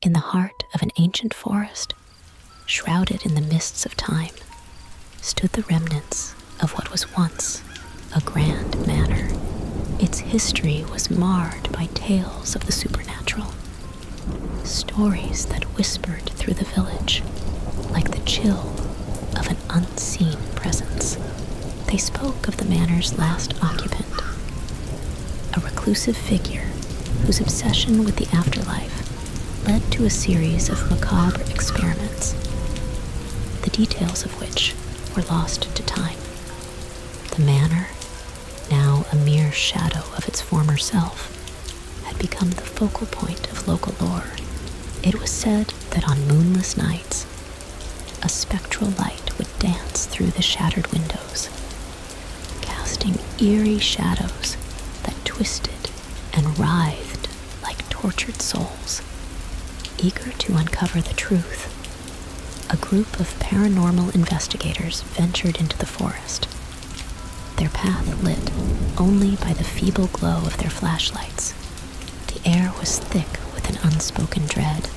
in the heart of an ancient forest, shrouded in the mists of time, stood the remnants of what was once a grand manor. Its history was marred by tales of the supernatural, stories that whispered through the village like the chill of an unseen presence. They spoke of the manor's last occupant, a reclusive figure whose obsession with the afterlife led to a series of macabre experiments, the details of which were lost to time. The manor, now a mere shadow of its former self, had become the focal point of local lore. It was said that on moonless nights, a spectral light would dance through the shattered windows, casting eerie shadows that twisted and writhed like tortured souls, eager to uncover the truth. A group of paranormal investigators ventured into the forest, their path lit only by the feeble glow of their flashlights. The air was thick with an unspoken dread,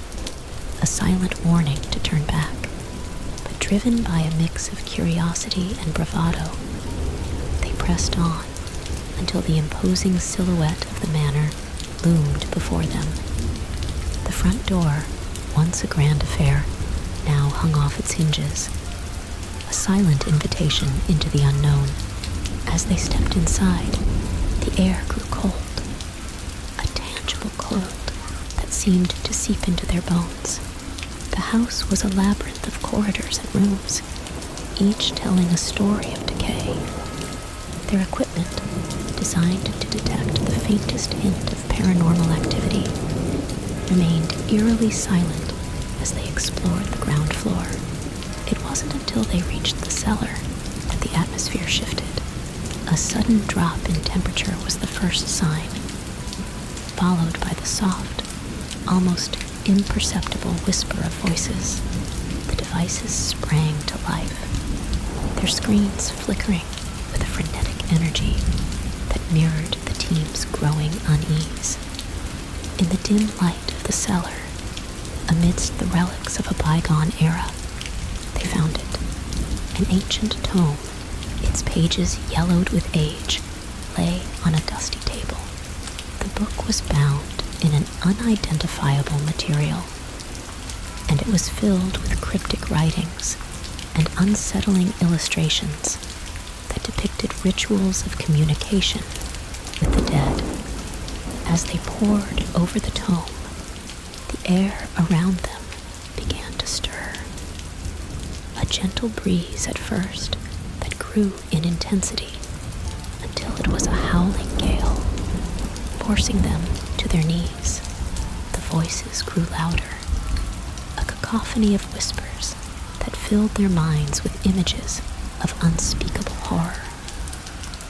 a silent warning to turn back. But driven by a mix of curiosity and bravado, they pressed on until the imposing silhouette of the manor loomed before them. The front door, once a grand affair, now hung off its hinges, a silent invitation into the unknown. As they stepped inside, the air grew cold a tangible cold that seemed to seep into their bones. The house was a labyrinth of corridors and rooms, each telling a story of decay. Their equipment, designed to detect the faintest hint of paranormal activity, remained eerily silent as they explored the ground floor. It wasn't until they reached the cellar that the atmosphere shifted. A sudden drop in temperature was the first sign, followed by the soft, almost imperceptible whisper of voices. The devices sprang to life, their screens flickering with a frenetic energy that mirrored the team's growing unease. In the dim light of the cellar, amidst the relics of a bygone era, they found it an ancient tome its pages, yellowed with age, lay on a dusty table. The book was bound in an unidentifiable material, and it was filled with cryptic writings and unsettling illustrations that depicted rituals of communication with the dead. As they poured over the tome, the air around them began to stir. A gentle breeze at first that grew in intensity until it was a howling gale, forcing them to their knees. The voices grew louder, a cacophony of whispers that filled their minds with images of unspeakable horror.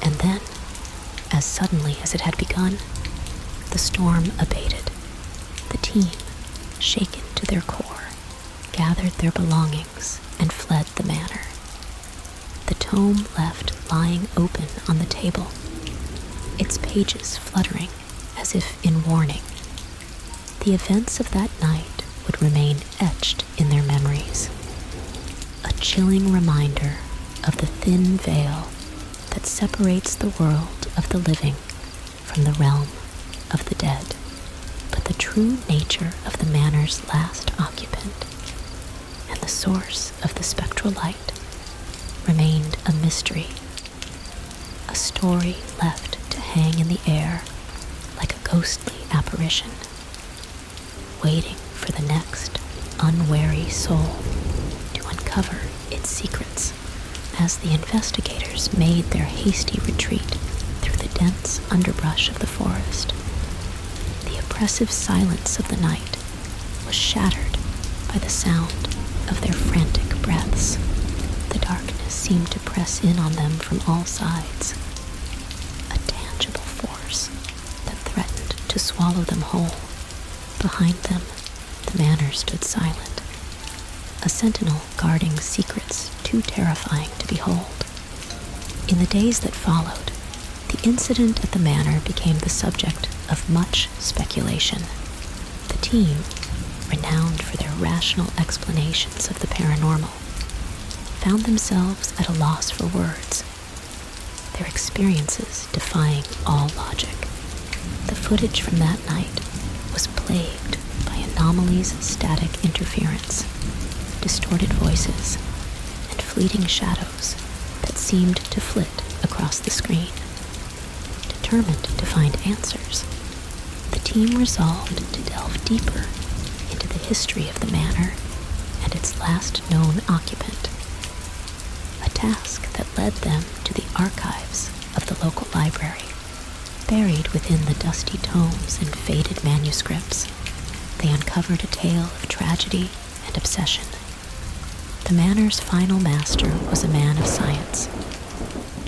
And then, as suddenly as it had begun, the storm abated the team, shaken to their core, gathered their belongings and fled the manor. The tome left lying open on the table, its pages fluttering as if in warning. The events of that night would remain etched in their memories, a chilling reminder of the thin veil that separates the world of the living from the realm of the dead, but the true nature of the manor's last occupant and the source of the spectral light remained a mystery, a story left to hang in the air like a ghostly apparition, waiting for the next unwary soul to uncover its secrets as the investigators made their hasty retreat through the dense underbrush of the forest. The oppressive silence of the night was shattered by the sound of their frantic breaths. The darkness seemed to press in on them from all sides, a tangible force that threatened to swallow them whole. Behind them, the manor stood silent, a sentinel guarding secrets too terrifying to behold. In the days that followed, the incident at the manor became the subject of much speculation. The team, renowned for their rational explanations of the paranormal, found themselves at a loss for words. Their experiences defying all logic. The footage from that night was plagued by anomalies static interference, distorted voices, and fleeting shadows that seemed to flit across the screen. Determined to find answers, the team resolved to delve deeper into the history of the manor and its last known occupant, a task that led them to the archives of the local library. Buried within the dusty tomes and faded manuscripts, they uncovered a tale of tragedy and obsession. The manor's final master was a man of science,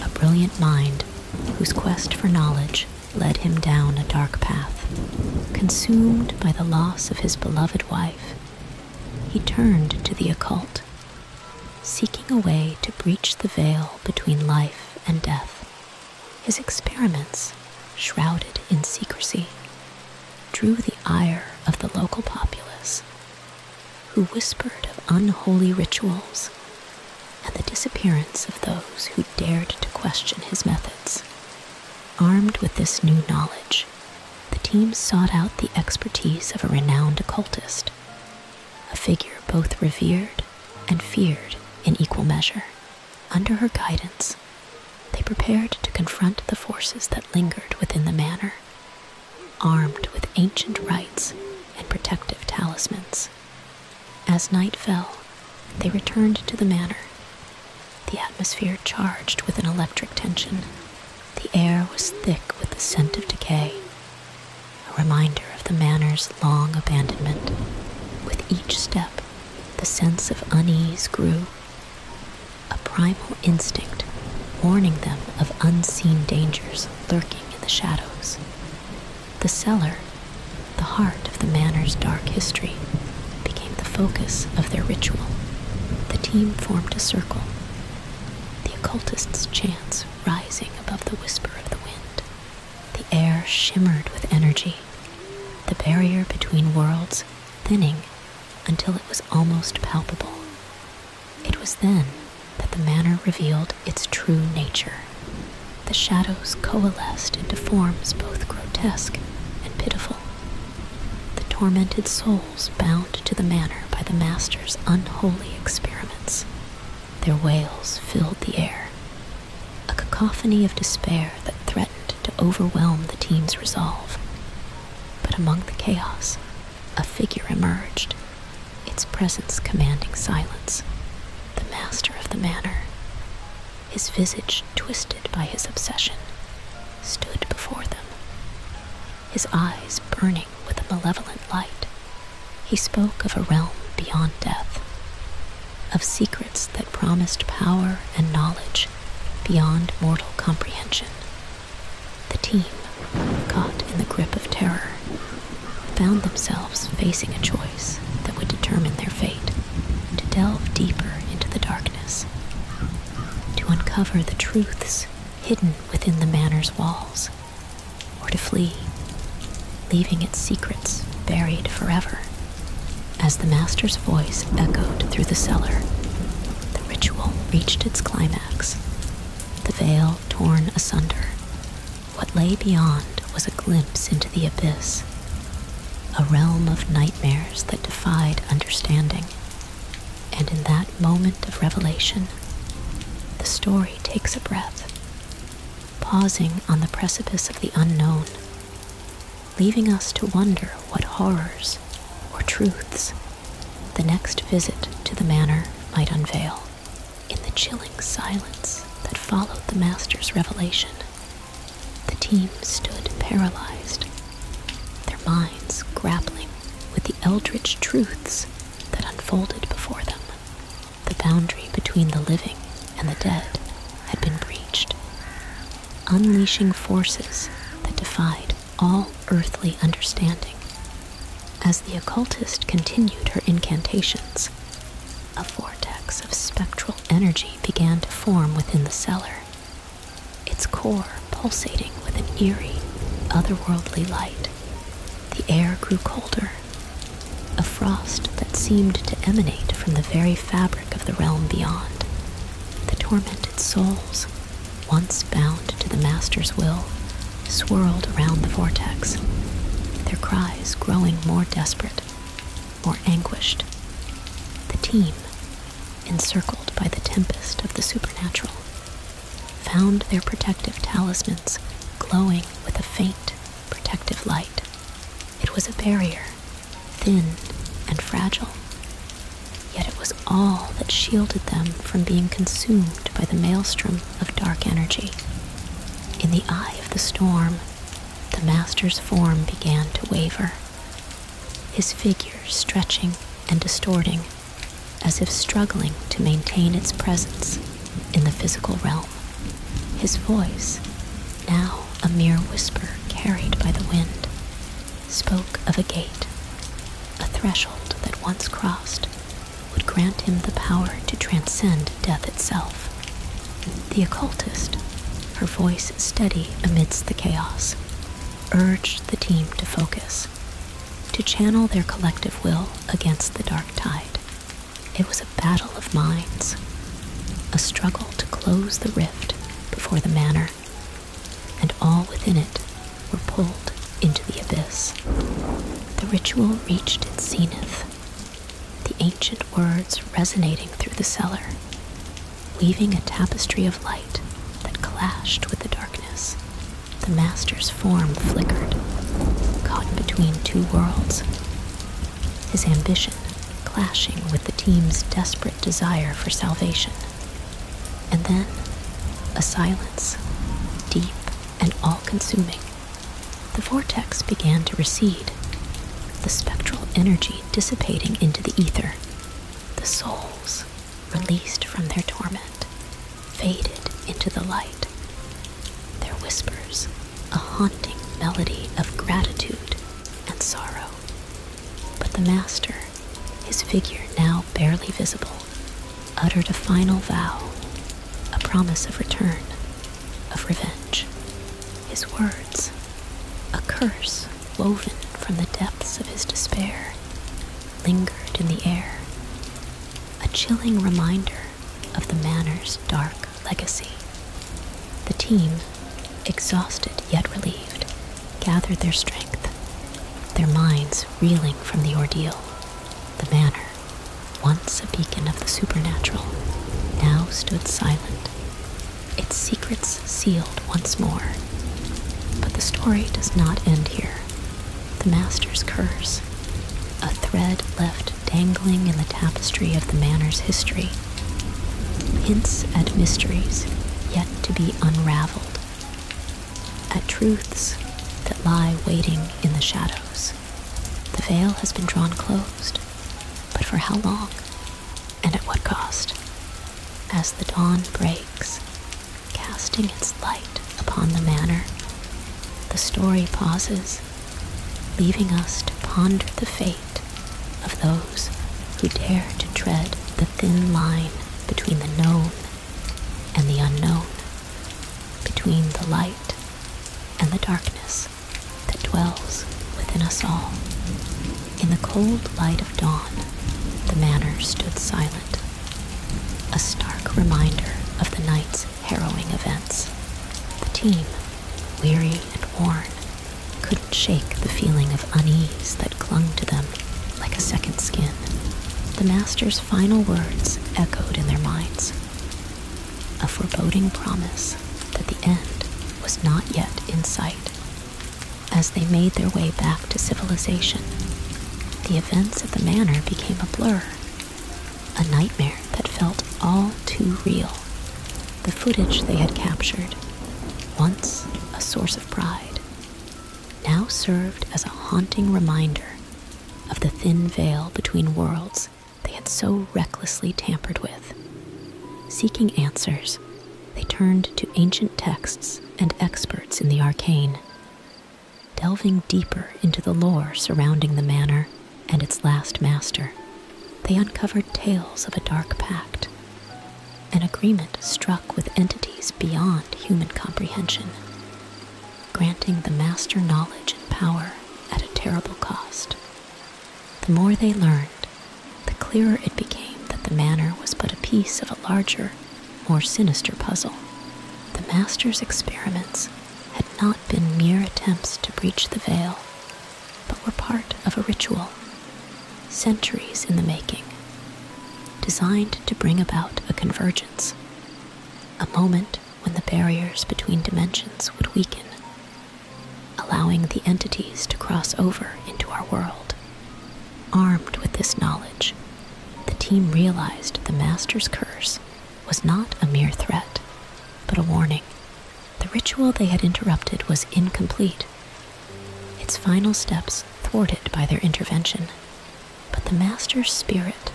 a brilliant mind whose quest for knowledge led him down a dark path. Consumed by the loss of his beloved wife, he turned to the occult seeking a way to breach the veil between life and death. His experiments, shrouded in secrecy, drew the ire of the local populace, who whispered of unholy rituals and the disappearance of those who dared to question his methods. Armed with this new knowledge, the team sought out the expertise of a renowned occultist, a figure both revered and feared in equal measure. Under her guidance, they prepared to confront the forces that lingered within the manor, armed with ancient rites and protective talismans. As night fell, they returned to the manor, the atmosphere charged with an electric tension the air was thick with the scent of decay, a reminder of the manor's long abandonment. With each step, the sense of unease grew, a primal instinct warning them of unseen dangers lurking in the shadows. The cellar, the heart of the manor's dark history, became the focus of their ritual. The team formed a circle, the occultist's chants rising above the whisper of the wind. The air shimmered with energy, the barrier between worlds thinning until it was almost palpable. It was then that the manor revealed its true nature. The shadows coalesced into forms both grotesque and pitiful. The tormented soul bound to the manor by the master's unholy experiments. Their wails filled the air, a cacophony of despair that threatened to overwhelm the team's resolve. But among the chaos, a figure emerged, its presence commanding silence. The master of the manor, his visage twisted by his obsession, stood before them his eyes burning with a malevolent light. He spoke of a realm beyond death, of secrets that promised power and knowledge beyond mortal comprehension. The team, caught in the grip of terror, found themselves facing a choice that would determine their fate to delve deeper into the darkness, to uncover the truths hidden within the manor's walls, or to flee, leaving its secrets buried forever. As the master's voice echoed through the cellar, the ritual reached its climax, the veil torn asunder. What lay beyond was a glimpse into the abyss, a realm of nightmares that defied understanding. And in that moment of revelation, the story takes a breath, pausing on the precipice of the unknown, leaving us to wonder what horrors or truths the next visit to the manor might unveil. In the chilling silence that followed the master's revelation, the team stood paralyzed their minds grappling with the eldritch truths that unfolded before them. The boundary between the living and the dead had been breached, unleashing forces that defied all earthly understanding. As the occultist continued her incantations, a vortex of spectral energy began to form within the cellar, its core pulsating with an eerie, otherworldly light. The air grew colder, a frost that seemed to emanate from the very fabric of the realm beyond. The tormented souls, once bound to the Master's will, swirled around the vortex, their cries growing more desperate, more anguished. The team, encircled by the tempest of the supernatural, found their protective talismans glowing with a faint, protective light. It was a barrier, thin and fragile, yet it was all that shielded them from being consumed by the maelstrom of dark energy. In the eye of the storm, the master's form began to waver, his figure stretching and distorting as if struggling to maintain its presence in the physical realm. His voice, now a mere whisper carried by the wind, spoke of a gate, a threshold that once crossed would grant him the power to transcend death itself. The occultist, her voice steady amidst the chaos, urged the team to focus, to channel their collective will against the dark tide. It was a battle of minds, a struggle to close the rift before the manor, and all within it were pulled into the abyss. The ritual reached its zenith, the ancient words resonating through the cellar weaving a tapestry of light that clashed with the darkness. The master's form flickered, caught between two worlds. His ambition clashing with the team's desperate desire for salvation. And then, a silence, deep and all consuming. The vortex began to recede, the spectral energy dissipating into the ether. The souls released from their torment, faded into the light. Their whispers, a haunting melody of gratitude and sorrow. But the master, his figure now barely visible, uttered a final vow, a promise of return, of revenge. His words, a curse woven from the depths of his despair, lingered in the air, a chilling reminder of the manor's dark legacy. The team, exhausted yet relieved, gathered their strength, their minds reeling from the ordeal. The manor, once a beacon of the supernatural, now stood silent, its secrets sealed once more. But the story does not end here. The master's curse, a thread left dangling in the tapestry of the manor's history, hints at mysteries yet to be unraveled, at truths that lie waiting in the shadows. The veil has been drawn closed, but for how long and at what cost? As the dawn breaks, casting its light upon the manor. The story pauses, leaving us to ponder the fate of those who dare to tread the thin line between the known and the unknown, between the light and the darkness that dwells within us all. In the cold light of dawn, the manor stood silent, a stark reminder of the night's harrowing events. The team, weary and worn, couldn't shake the feeling of unease that clung to them like a second skin. The master's final words echoed in their minds a foreboding promise that the end was not yet in sight. As they made their way back to civilization, the events at the manor became a blur, a nightmare that felt all too real. The footage they had captured, once a source of pride, now served as a haunting reminder of the thin veil between worlds they had so recklessly tampered with. Seeking answers, they turned to ancient texts and experts in the arcane, delving deeper into the lore surrounding the manor and its last master. They uncovered tales of a dark pact, an agreement struck with entities beyond human comprehension, granting the master knowledge and power at a terrible cost. The more they learned, the clearer it became that the manor was but a piece of a larger more sinister puzzle. The Master's experiments had not been mere attempts to breach the veil, but were part of a ritual, centuries in the making, designed to bring about a convergence, a moment when the barriers between dimensions would weaken, allowing the entities to cross over into our world. Armed with this knowledge, the team realized the Master's curse was not a mere threat, but a warning. The ritual they had interrupted was incomplete, its final steps thwarted by their intervention. But the Master's spirit,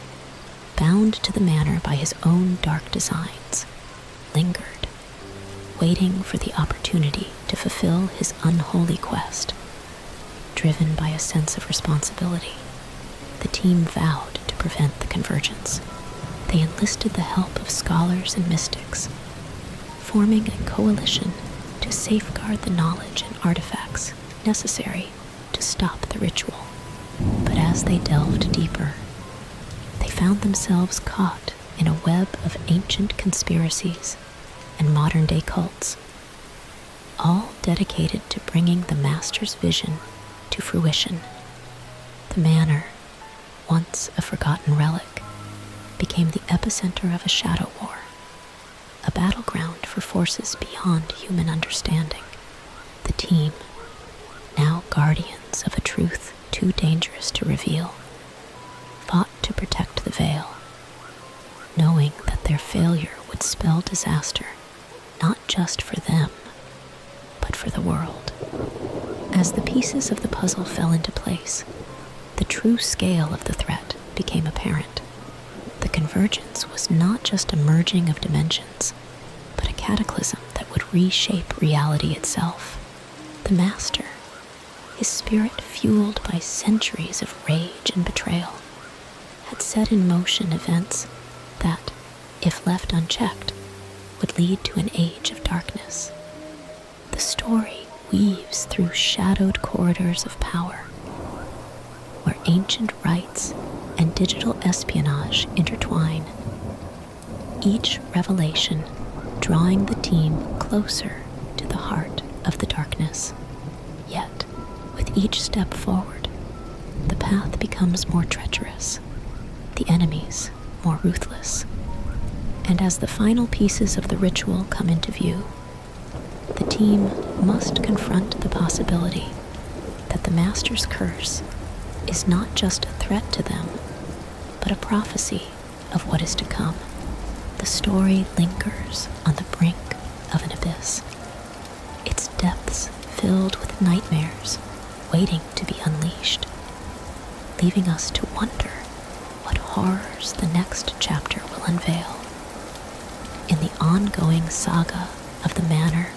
bound to the manor by his own dark designs, lingered, waiting for the opportunity to fulfill his unholy quest. Driven by a sense of responsibility, the team vowed to prevent the convergence. They enlisted the help of scholars and mystics, forming a coalition to safeguard the knowledge and artifacts necessary to stop the ritual. But as they delved deeper, they found themselves caught in a web of ancient conspiracies and modern day cults, all dedicated to bringing the Master's vision to fruition. The manor, once a forgotten relic, became the epicenter of a shadow war, a battleground for forces beyond human understanding. The team, now guardians of a truth too dangerous to reveal, fought to protect the veil knowing that their failure would spell disaster not just for them, but for the world. As the pieces of the puzzle fell into place, the true scale of the threat became apparent. The convergence was not just a merging of dimensions, but a cataclysm that would reshape reality itself. The master his spirit, fueled by centuries of rage and betrayal, had set in motion events that, if left unchecked, would lead to an age of darkness. The story weaves through shadowed corridors of power, where ancient rites and digital espionage intertwine, each revelation drawing the team closer to the heart of the darkness. Yet, with each step forward, the path becomes more treacherous, the enemies more ruthless. And as the final pieces of the ritual come into view, the team must confront the possibility that the Master's curse is not just a threat to them, but a prophecy of what is to come, the story lingers on the brink of an abyss, its depths filled with nightmares waiting to be unleashed, leaving us to wonder what horrors the next chapter will unveil. In the ongoing saga of the manor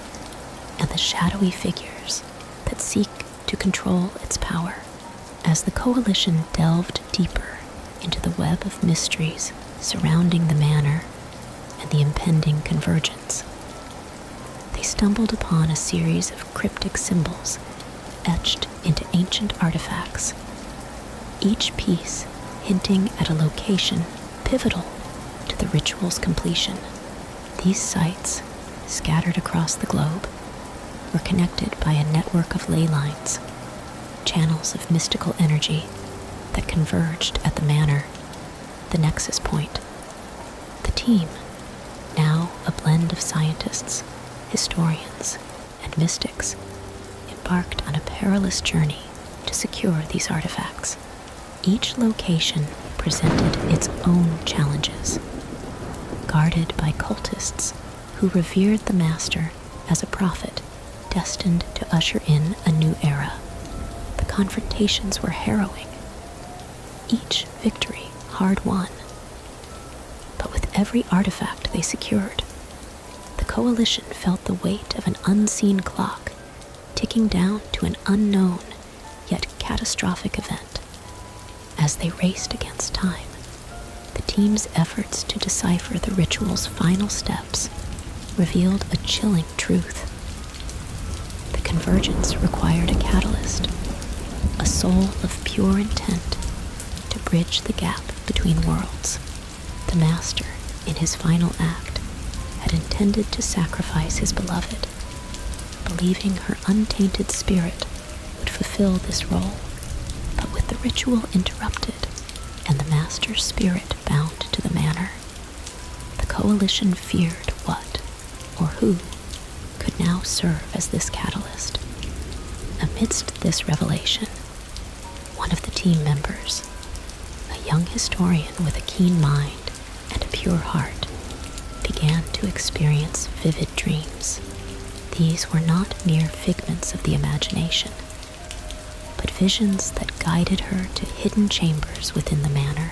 and the shadowy figures that seek to control its power. As the Coalition delved deeper into the web of mysteries surrounding the manor and the impending convergence, they stumbled upon a series of cryptic symbols etched into ancient artifacts, each piece hinting at a location pivotal to the ritual's completion. These sites, scattered across the globe, were connected by a network of ley lines channels of mystical energy that converged at the manor, the nexus point. The team, now a blend of scientists, historians, and mystics, embarked on a perilous journey to secure these artifacts. Each location presented its own challenges, guarded by cultists who revered the Master as a prophet destined to usher in a new era. The confrontations were harrowing, each victory hard won. But with every artifact they secured, the Coalition felt the weight of an unseen clock ticking down to an unknown yet catastrophic event as they raced against time the team's efforts to decipher the ritual's final steps revealed a chilling truth. The convergence required a catalyst, a soul of pure intent to bridge the gap between worlds. The Master, in his final act, had intended to sacrifice his beloved, believing her untainted spirit would fulfill this role, but with the ritual interrupted and the master's spirit bound to the manor, the coalition feared what or who could now serve as this catalyst. Amidst this revelation, one of the team members, a young historian with a keen mind and a pure heart, began to experience vivid dreams these were not mere figments of the imagination, but visions that guided her to hidden chambers within the manor,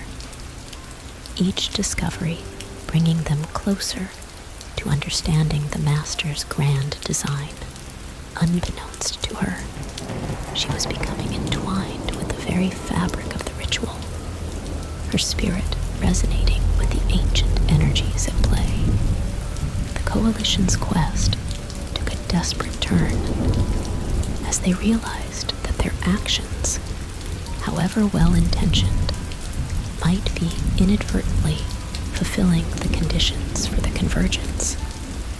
each discovery bringing them closer to understanding the master's grand design. Unbeknownst to her, she was becoming entwined with the very fabric of the ritual, her spirit resonating with the ancient energies at play the Coalition's quest took a desperate turn as they realized that their actions, however well intentioned, might be inadvertently fulfilling the conditions for the convergence.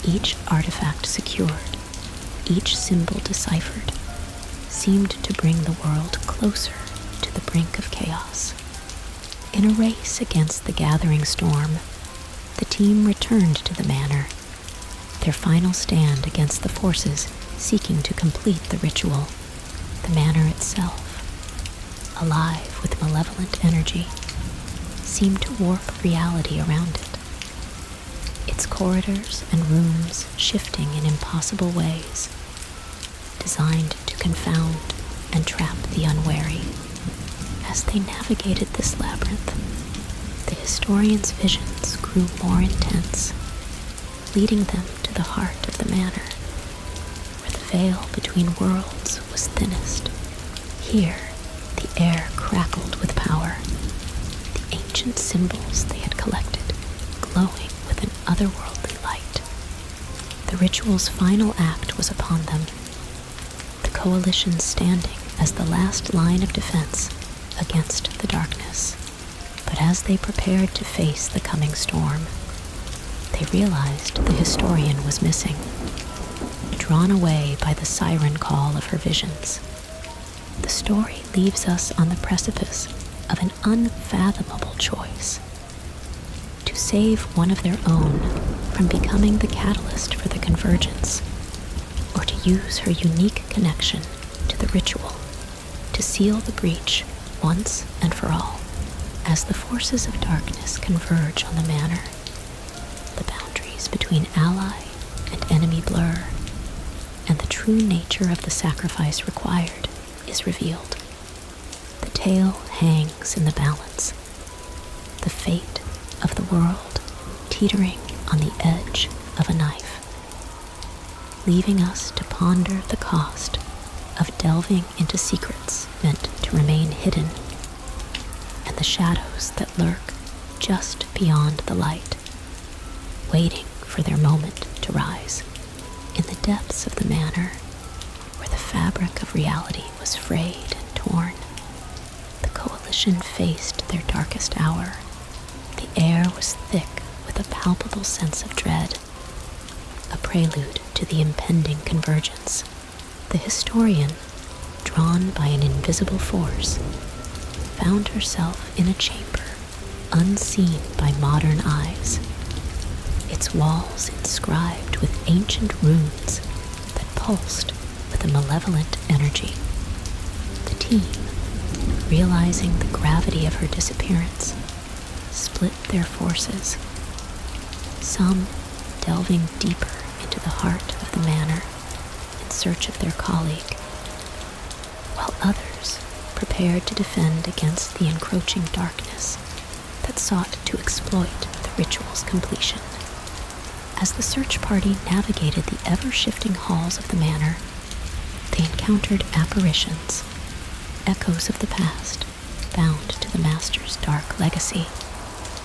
Each artifact secured, each symbol deciphered, seemed to bring the world closer to the brink of chaos. In a race against the gathering storm, the team returned to the manor, their final stand against the forces seeking to complete the ritual, the manor itself. Alive with malevolent energy, seemed to warp reality around it, its corridors and rooms shifting in impossible ways, designed to confound and trap the unwary. As they navigated this labyrinth, the historian's visions grew more intense, leading them to the heart of the manor, where the veil between worlds was thinnest. Here, the air crackled with power, the ancient symbols they had collected glowing with an otherworldly light. The ritual's final act was upon them, the coalition standing as the last line of defense against the darkness. But as they prepared to face the coming storm, they realized the historian was missing, drawn away by the siren call of her visions. The story leaves us on the precipice of an unfathomable choice to save one of their own from becoming the catalyst for the convergence, or to use her unique connection to the ritual to seal the breach once and for all. As the forces of darkness converge on the manor, the boundaries between ally and enemy blur, and the true nature of the sacrifice required is revealed. The tale hangs in the balance, the fate of the world teetering on the edge of a knife, leaving us to ponder the cost of delving into secrets meant to remain hidden and the shadows that lurk just beyond the light, waiting for their moment to rise. In the depths of the manor, where the fabric of reality was frayed and torn. The coalition faced their darkest hour. The air was thick with a palpable sense of dread, a prelude to the impending convergence. The historian, drawn by an invisible force, found herself in a chamber unseen by modern eyes. Its walls inscribed with ancient runes that pulsed with a malevolent energy. The team, realizing the gravity of her disappearance, split their forces. Some delving deeper into the heart of the manor in search of their colleague, while others prepared to defend against the encroaching darkness that sought to exploit the ritual's completion. As the search party navigated the ever shifting halls of the manor, they encountered apparitions, echoes of the past, bound to the Master's dark legacy.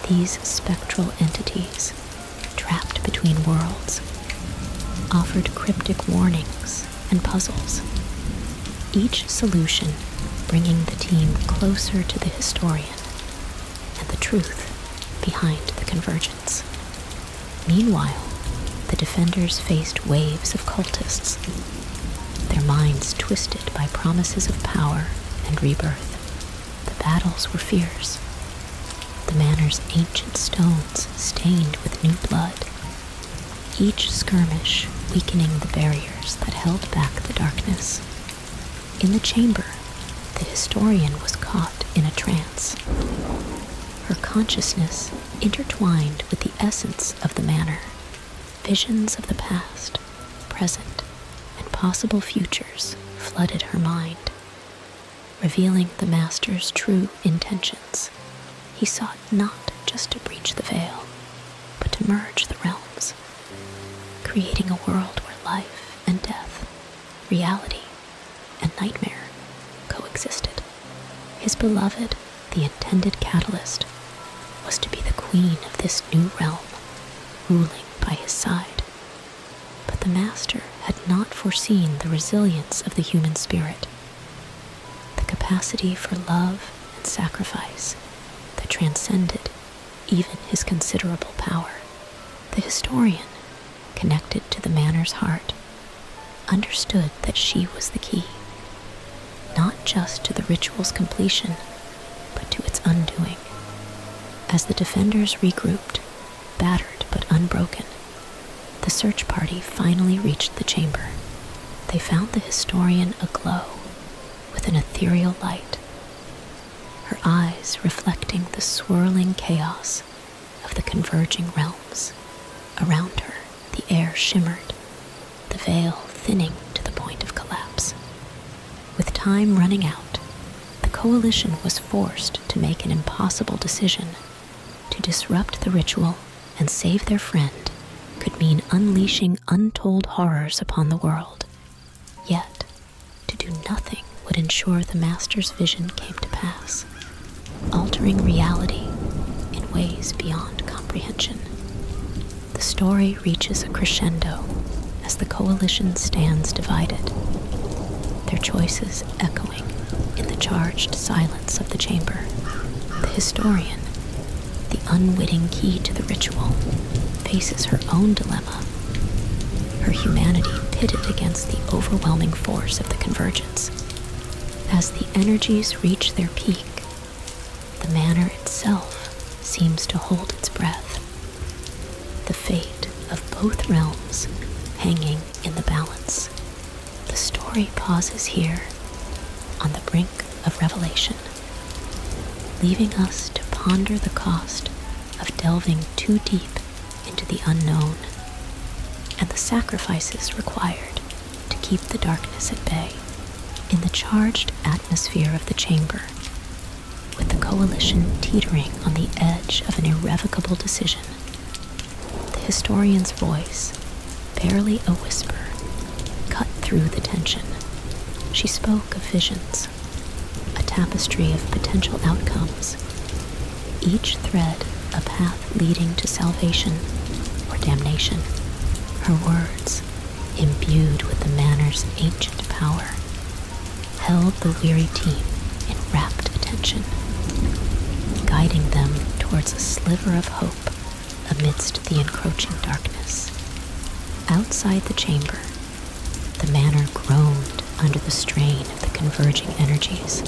These spectral entities, trapped between worlds, offered cryptic warnings and puzzles, each solution bringing the team closer to the historian and the truth behind the convergence. Meanwhile, the defenders faced waves of cultists, their minds twisted by promises of power and rebirth. The battles were fierce, the manor's ancient stones stained with new blood each skirmish weakening the barriers that held back the darkness. In the chamber, the historian was caught in a trance. Her consciousness intertwined with the essence of the manor, visions of the past, present, and possible futures flooded her mind, revealing the master's true intentions. He sought not just to breach the veil, but to merge the realms, creating a world where life and death, reality and nightmare coexisted. His beloved, the intended catalyst, was to be the queen of this new realm, ruling by his side. But the master had not foreseen the resilience of the human spirit, the capacity for love and sacrifice that transcended even his considerable power. The historian, connected to the manor's heart, understood that she was the key, not just to the ritual's completion, but to its undoing. As the defenders regrouped, battered but unbroken, the search party finally reached the chamber. They found the historian aglow with an ethereal light, her eyes reflecting the swirling chaos of the converging realms. Around her, the air shimmered, the veil thinning to the point of collapse. With time running out, the coalition was forced to make an impossible decision to disrupt the ritual and save their friend could mean unleashing untold horrors upon the world. Yet, to do nothing would ensure the Master's vision came to pass, altering reality in ways beyond comprehension. The story reaches a crescendo as the coalition stands divided, their choices echoing in the charged silence of the chamber. The historian the unwitting key to the ritual, faces her own dilemma, her humanity pitted against the overwhelming force of the convergence. As the energies reach their peak, the manor itself seems to hold its breath, the fate of both realms hanging in the balance. The story pauses here on the brink of revelation leaving us to ponder the cost of delving too deep into the unknown and the sacrifices required to keep the darkness at bay in the charged atmosphere of the chamber, with the coalition teetering on the edge of an irrevocable decision. The historian's voice barely a whisper, cut through the tension. She spoke of visions, a tapestry of potential outcomes, each thread a path leading to salvation or damnation. Her words, imbued with the manor's ancient power, held the weary team in rapt attention, guiding them towards a sliver of hope amidst the encroaching darkness. Outside the chamber, the manor groaned under the strain of the converging energies,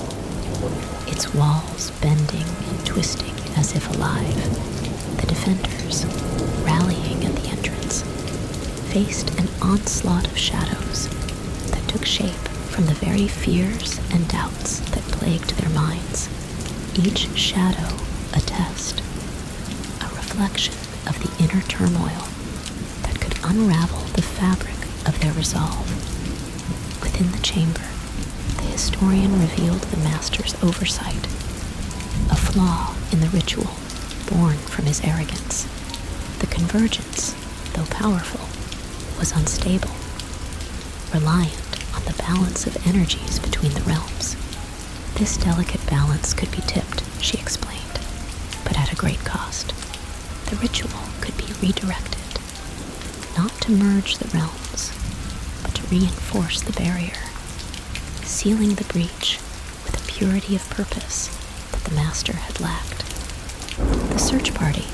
its walls bending and twisting as if alive. The defenders, rallying at the entrance, faced an onslaught of shadows that took shape from the very fears and doubts that plagued their minds. Each shadow a test, a reflection of the inner turmoil that could unravel the fabric of their resolve. Within the chamber, the historian revealed the master's oversight, a flaw in the ritual born from his arrogance. The convergence, though powerful, was unstable, reliant on the balance of energies between the realms. This delicate balance could be tipped, she explained, but at a great cost. The ritual could be redirected, not to merge the realms, but to reinforce the barrier, sealing the breach with a purity of purpose that the Master had lacked. The search party,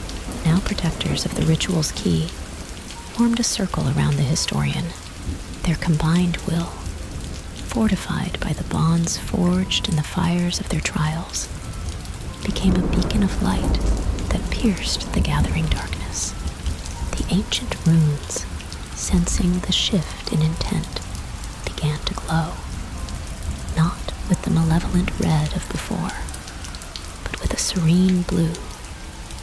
now protectors of the ritual's key, formed a circle around the historian their combined will, fortified by the bonds forged in the fires of their trials, became a beacon of light that pierced the gathering darkness. The ancient runes, sensing the shift in intent, began to glow, not with the malevolent red of before, but with a serene blue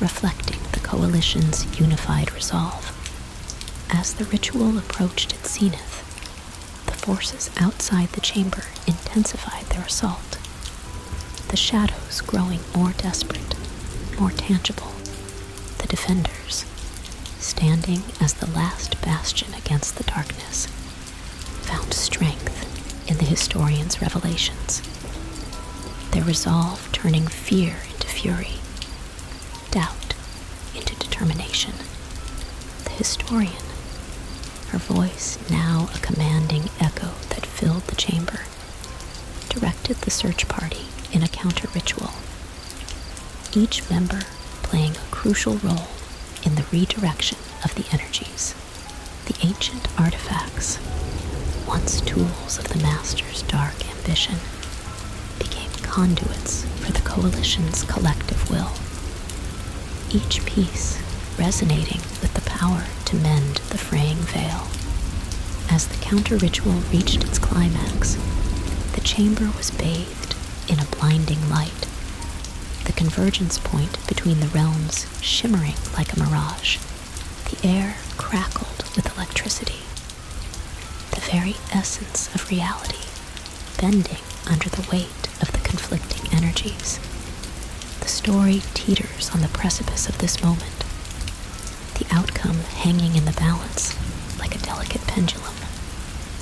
reflecting the coalition's unified resolve. As the ritual approached its zenith, the forces outside the chamber intensified their assault, the shadows growing more desperate, more tangible, the defenders standing as the last bastion against the darkness, found strength in the historian's revelations. Their resolve turning fear into fury, doubt into determination. The historian, her voice now a commanding echo that filled the chamber, directed the search party in a counter ritual, each member playing a crucial role in the redirection of the energies. The ancient artifacts, once tools of the master dark ambition became conduits for the coalition's collective will, each piece resonating with the power to mend the fraying veil. As the counter ritual reached its climax, the chamber was bathed in a blinding light, the convergence point between the realms shimmering like a mirage. The air crackled with electricity, the very essence of reality bending under the weight of the conflicting energies. The story teeters on the precipice of this moment, the outcome hanging in the balance like a delicate pendulum.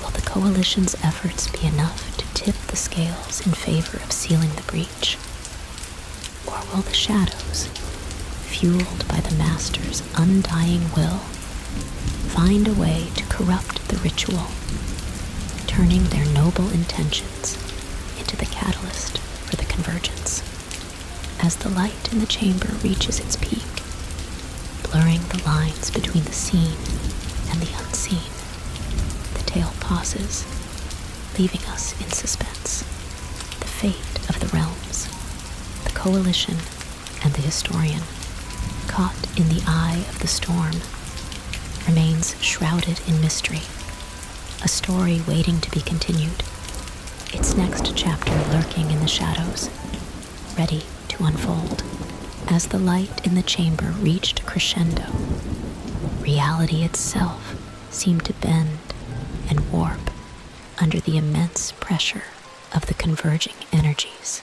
Will the coalition's efforts be enough to tip the scales in favor of sealing the breach? Or will the shadows, fueled by the Master's undying will, find a way to corrupt the ritual, turning their noble intentions into the catalyst for the convergence? As the light in the chamber reaches its peak, blurring the lines between the seen and the unseen, the tale pauses, leaving us in suspense the fate of the realms, the coalition, and the historian, caught in the eye of the storm, remains shrouded in mystery, a story waiting to be continued, its next chapter lurking in the shadows, ready to unfold. As the light in the chamber reached crescendo, reality itself seemed to bend and warp under the immense pressure of the converging energies,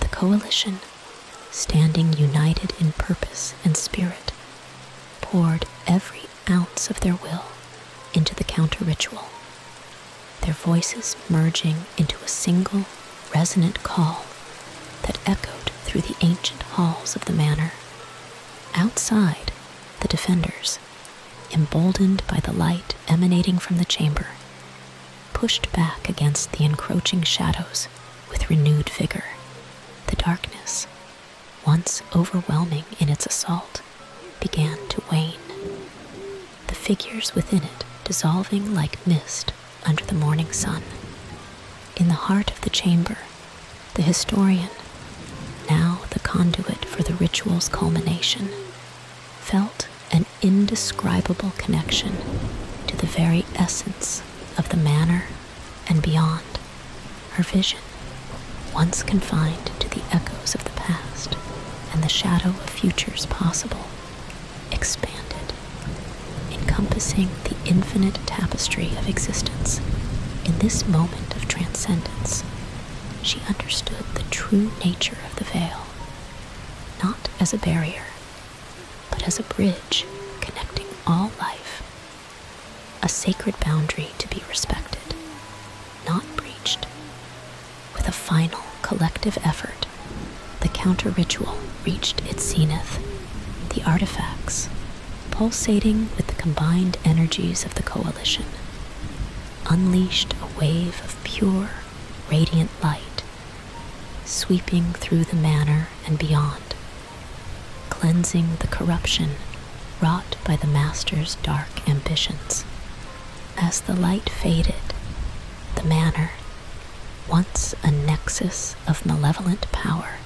the coalition, standing united in purpose and spirit, poured every ounce of their will into the counter ritual, their voices merging into a single resonant call that echoed through the ancient halls of the manor. Outside, the defenders emboldened by the light emanating from the chamber, pushed back against the encroaching shadows with renewed vigor. The darkness, once overwhelming in its assault, began to wane, the figures within it dissolving like mist under the morning sun. In the heart of the chamber, the historian, now the conduit for the ritual's culmination, felt an indescribable connection to the very essence of the manner and beyond. Her vision, once confined to the echoes of the past and the shadow of futures possible, expanded, encompassing the infinite tapestry of existence. In this moment of transcendence, she understood the true nature of the veil, not as a barrier, but as a bridge connecting all life, a sacred boundary to be respected, not breached. With a final collective effort, the counter ritual reached its zenith. The artifacts, pulsating with the combined energies of the coalition, unleashed a wave of pure, radiant light, sweeping through the manor and beyond, cleansing the corruption wrought by the master's dark ambitions. As the light faded, the manor, once a nexus of malevolent power,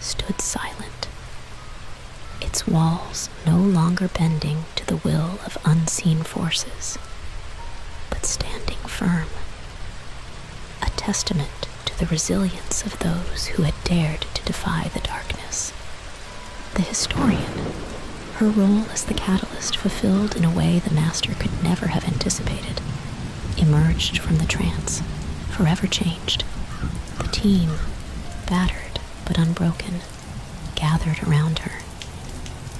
stood silent, its walls no longer bending to the will of unseen forces, but standing firm, a testament to the resilience of those who had dared to defy the darkness. The historian, her role as the catalyst fulfilled in a way the master could never have anticipated, emerged from the trance, forever changed. The team, battered, but unbroken, gathered around her,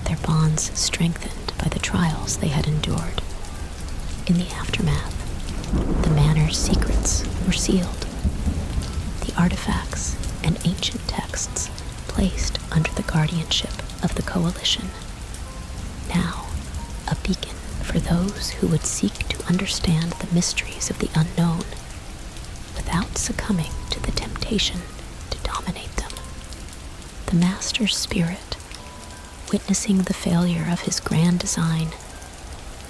their bonds strengthened by the trials they had endured. In the aftermath, the manor's secrets were sealed, the artifacts and ancient texts placed under the guardianship of the Coalition. Now, a beacon for those who would seek to understand the mysteries of the unknown without succumbing to the temptation to dominate them. The master spirit, witnessing the failure of his grand design,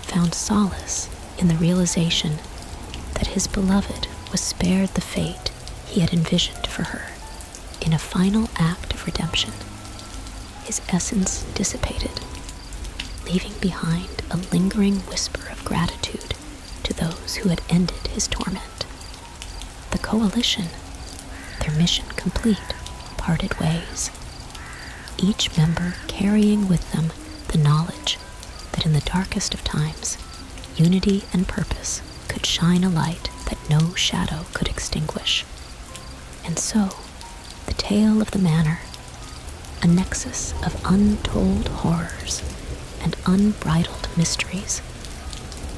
found solace in the realization that his beloved was spared the fate he had envisioned for her in a final act of redemption. His essence dissipated leaving behind a lingering whisper of gratitude to those who had ended his torment. The coalition, their mission complete, parted ways, each member carrying with them the knowledge that in the darkest of times, unity and purpose could shine a light that no shadow could extinguish. And so, the Tale of the Manor, a nexus of untold horrors and unbridled mysteries,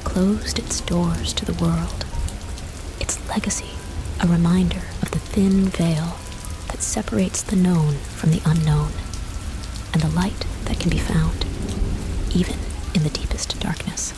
closed its doors to the world. Its legacy, a reminder of the thin veil that separates the known from the unknown, and the light that can be found, even in the deepest darkness.